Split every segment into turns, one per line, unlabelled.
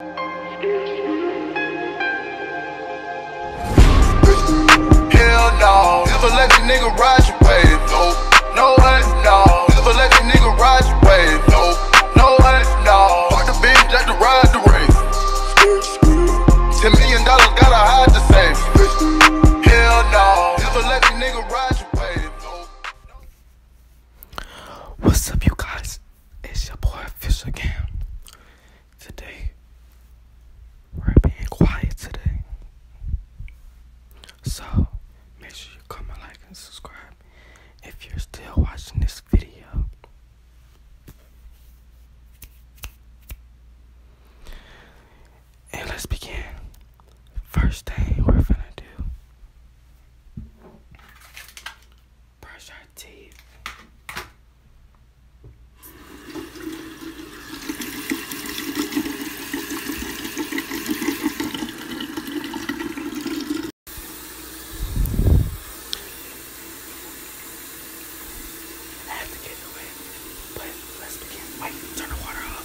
Hell no, never let the nigga ride your wave. No, no, no, never let the nigga ride your wave. No, no, no, fuck the bitch that to ride the race. Ten million dollars gotta hide the safe. Hell
no, never let the nigga ride
your wave. No, What's up, you guys? It's your boy Fish again. Today, we're being quiet today. So, make sure you comment, like, and subscribe if you're still watching this video. And let's begin. First thing we're gonna do brush our teeth. I have to get away, but let's begin. Wait, turn the water off.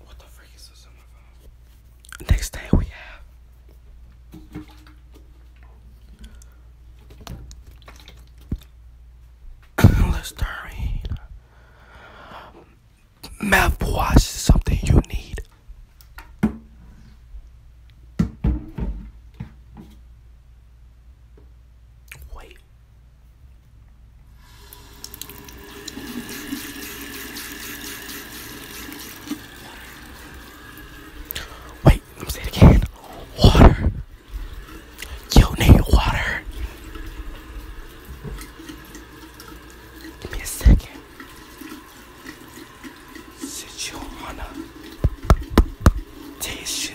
What the freak is this on my phone? Next thing we have Listerine Mouthwash is something you need. Wait. Wait, let me say it again. Water. You need water. Give me a second. Sit you on a tissue.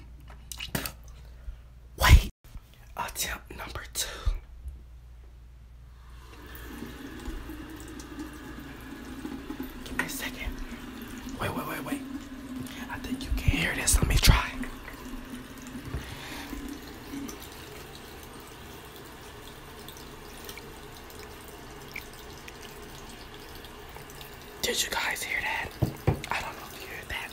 Wait, attempt number two. Give me a second. Wait, wait, wait, wait. I think you can hear this. Let me try. Did you guys hear that? I don't know if you heard that.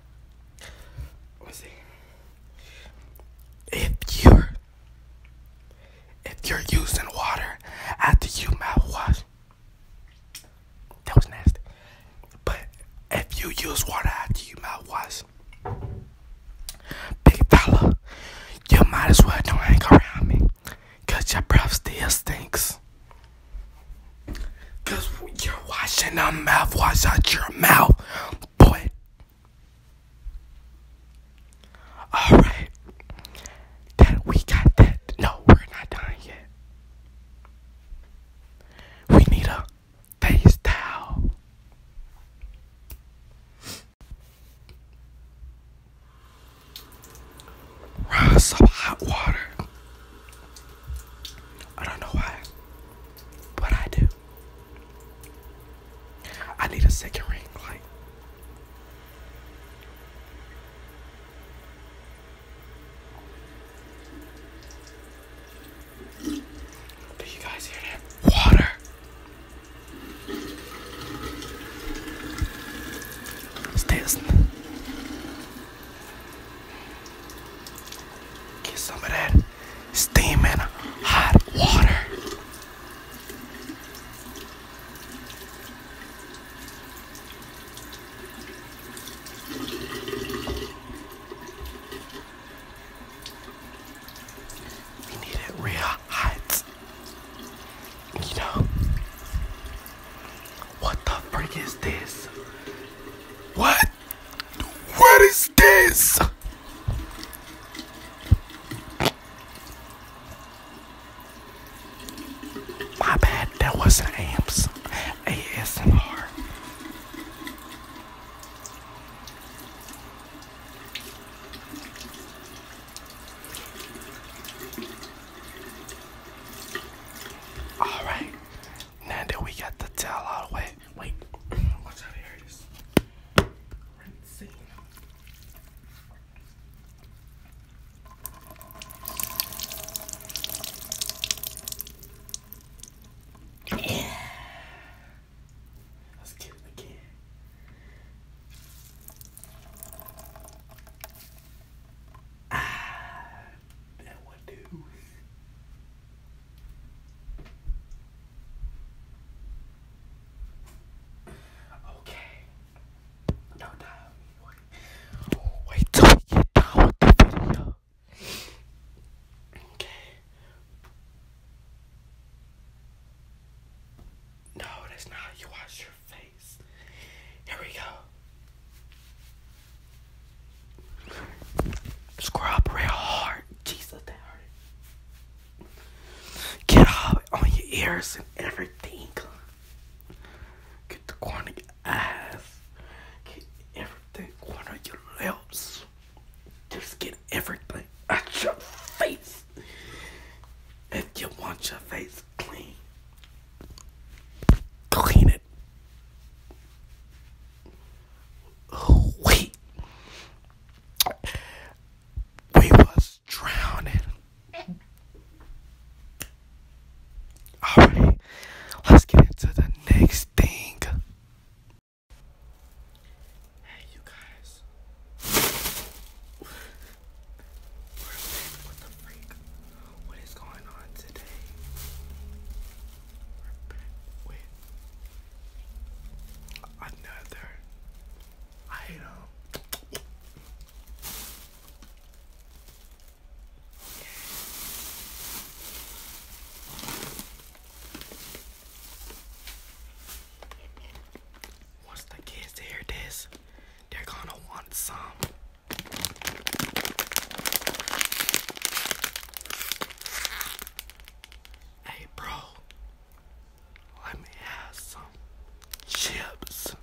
If you're if you're using water after you mouthwash, that was nasty. But if you use water after you mouthwash, big fella, you might as well don't hang around me, your breath still stinks. Cause you're washing the mouthwash out your mouth, boy. Alright. That we got that. No, we're not done yet. We need a face towel. Run some hot water. I don't know why what I do. I need a second ring, like. Do you guys hear that? Water. It's Get some of that steaming hot water. We need it real hot. You know, what the freak is this? What? What is this? My bad, that wasn't AMPS. ASMR. Alright, Nando, we got the towel all the way, wait, watch out here Let's get again. Ah, that one do. Okay. No time. Wait. Wait till you get done with the video. Okay. No, that's not you wash your face. Here we go. Scrub real hard. Jesus, that hurt. Get on your ears and everything. Get the corner of your eyes. Get everything corner your lips. Just get everything at your face. If you want your face clean, clean it. Wait. we was drowning. Alright, let's get into the next thing. Hey, you guys. what the freak? What is going on today? Wait. Another item. Yeah. Once the kids hear this, they're gonna want some. Hey, bro, let me have some chips.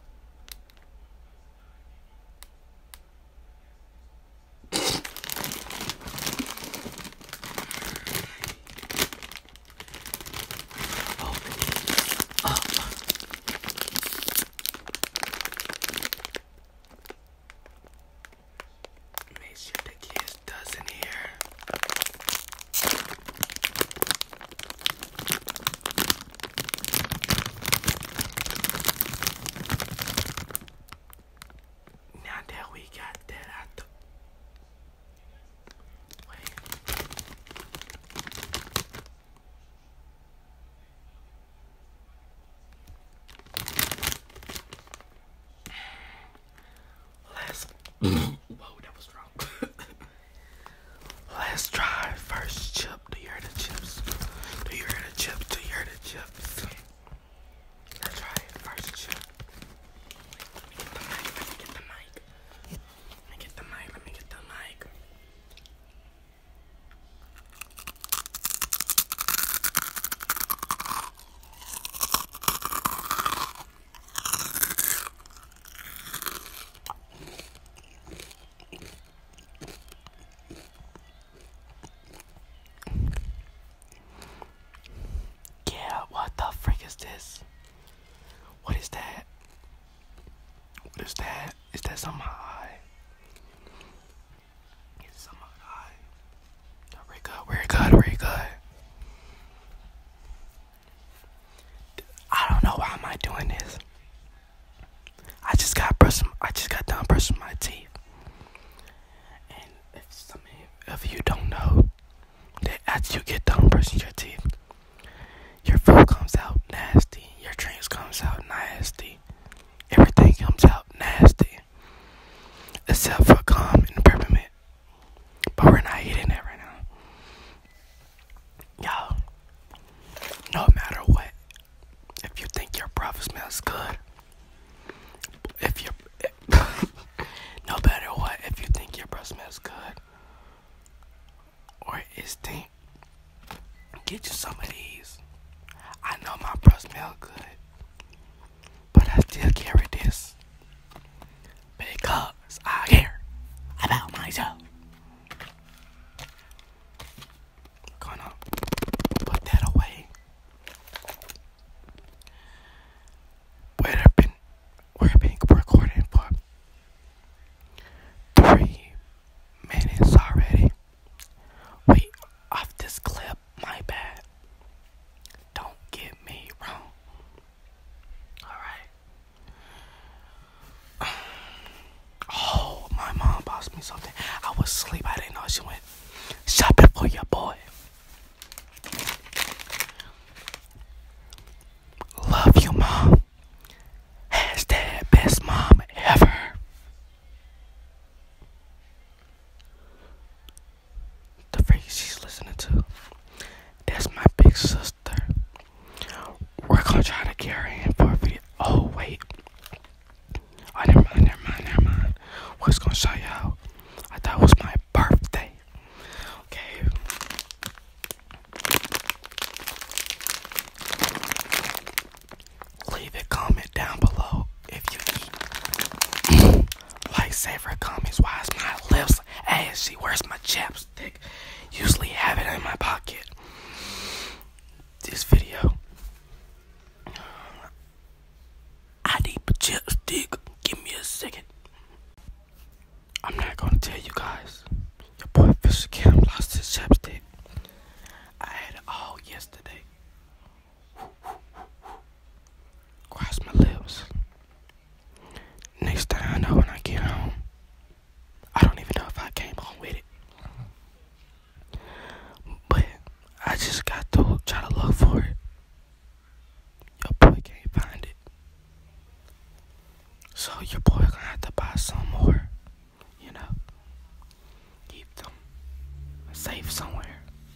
Make sure the kids doesn't hear. Now that we got that out the Wait. Last, whoa, that was strong. Last try, first chip. Do you hear the chips? Do you hear the chips? Do you hear the chips? Let's try First chip. Let me get the mic. Let me get the mic. Let me get the mic. Let me get the mic. Yeah, what the frick is this? What is that? What is that? Is that some high? It's summer high. No, we're good, we're I don't know why am I doing this. I just got brushing I just got done brushing my teeth. And if you don't know that as you get done brushing your teeth, your food comes out nasty, your drinks comes out nasty, everything comes out nasty. Except for calm and peppermint. But we're not eating that right now. Y'all, no matter what, if you think your breath smells good, if you no matter what, if you think your breath smells good or is stink, get you some of these. I know my breath smells good but I still carry this because I care about myself. Gonna put that away. We're been we're been recording for three minutes already. We off this clip my bad. Don't get me wrong. Alright. Oh, my mom bought me something. I was asleep. I didn't know she went shopping for your boy. Love you, mom. Hashtag best mom ever. The phrase she's listening to. That's my big sister. We're gonna try to get her in for a video. Oh wait. I oh, never mind, never mind, never mind. we gonna show y'all. I thought it was my birthday. Okay. Leave a comment down below if you eat lightsaber comments, why is my lips ashy? Where's my chapstick? Usually have it in my pocket. This video, I need a chapstick. Give me a second. I'm not gonna tell you guys. Your boy Fisher Cam lost his chapstick. I had it all yesterday. Cross my lips. Next time, I know, when I get home, I don't even know if I came home with it. But I just got to try to look for it. Your boy can't find it. So your boy gonna have to buy some more, you know. Keep them safe somewhere.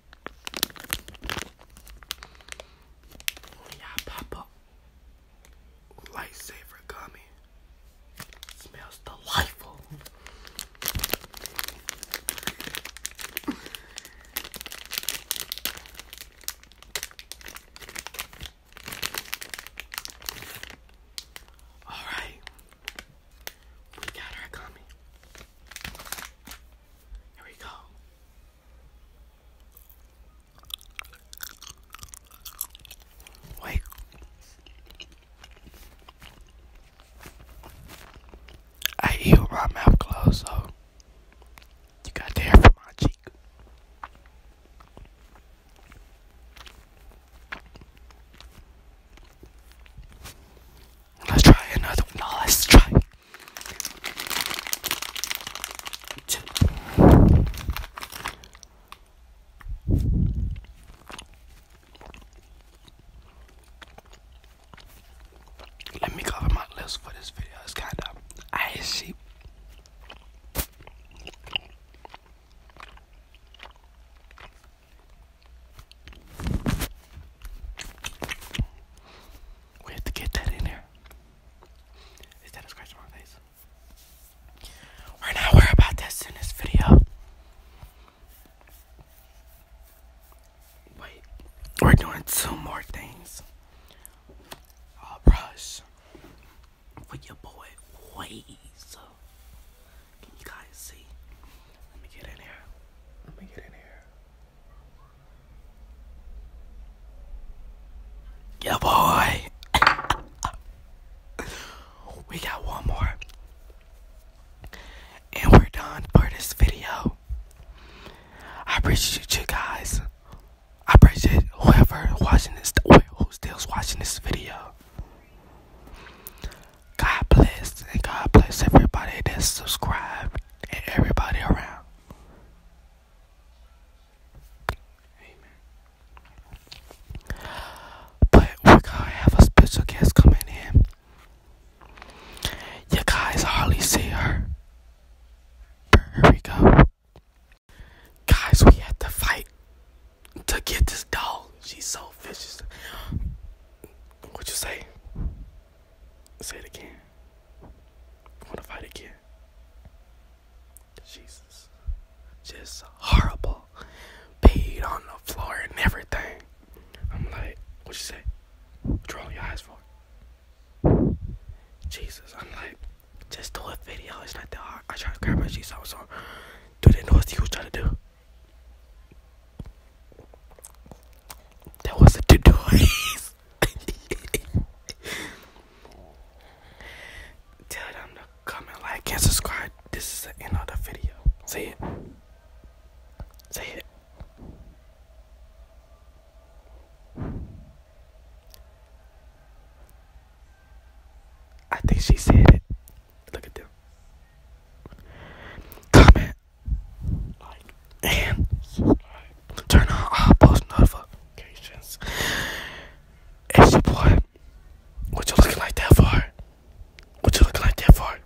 Oh yeah, pop up, lightsaber gummy smells delightful. All right, we got our gummy. Here we go. Wait. I eat my mouth closed, so you got there for my cheek. Let's try another one. let's try let me cover my lips for this video. It's kind of icy. We have to get that in there. Is that a my face? We're not worried about this in this video. Wait, we're doing two more things. brush for your boy Waze. Can you guys see? Let me get in here. Let me get in here. Yeah, boy. we got one more. And we're done for this video. I appreciate you guys. I appreciate whoever watching this, who still's watching this video. God bless and God bless everybody that's subscribed and everybody around. Amen. But we're gonna have a special guest coming in. You guys hardly see her. Here we Guys, we had to fight to get this doll. She's so vicious. What you say? Say it again. I wanna fight again. Jesus. Just horrible. Peed on the floor and everything. I'm like, what you say? What you rolling your eyes for? Jesus, I'm like, just do a video. It's not that hard. I try to grab my Jesus. I was on. Do they know what you was trying to do? That was a tutorial. Tell them to comment, like, and subscribe. This is the end of the video. Say it. Say it. I think she said it. Look at them. Comment, and Turn on all post notifications. It's your boy. What you looking like that for? What you looking like that for?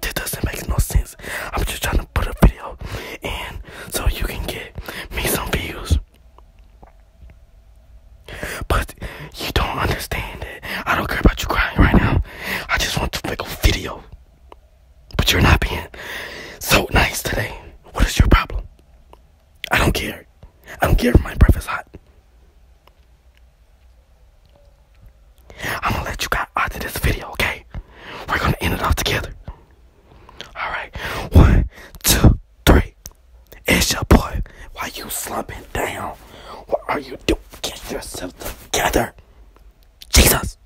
This doesn't make no sense. I'm just trying to put a video in so you can get me some views. But you don't understand it. I don't care about you crying right now. I just want to make a video. But you're not being so nice today. What is your problem? I don't care. I don't care if my breath is hot. I'm gonna let you guys out of this video, okay? We're gonna end it all together. Alright. One, two, three. It's your boy. Why you slumping down? What are you doing? Get yourself together. Jesus,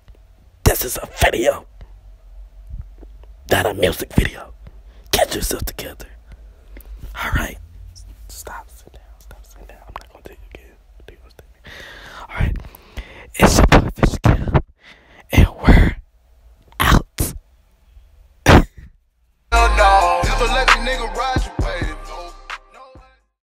this is a video, not a music video. Get yourself together. All right. Stop, sit down, stop, sit down. I'm not gonna take you again. All right. It's your boy Fish and we're out.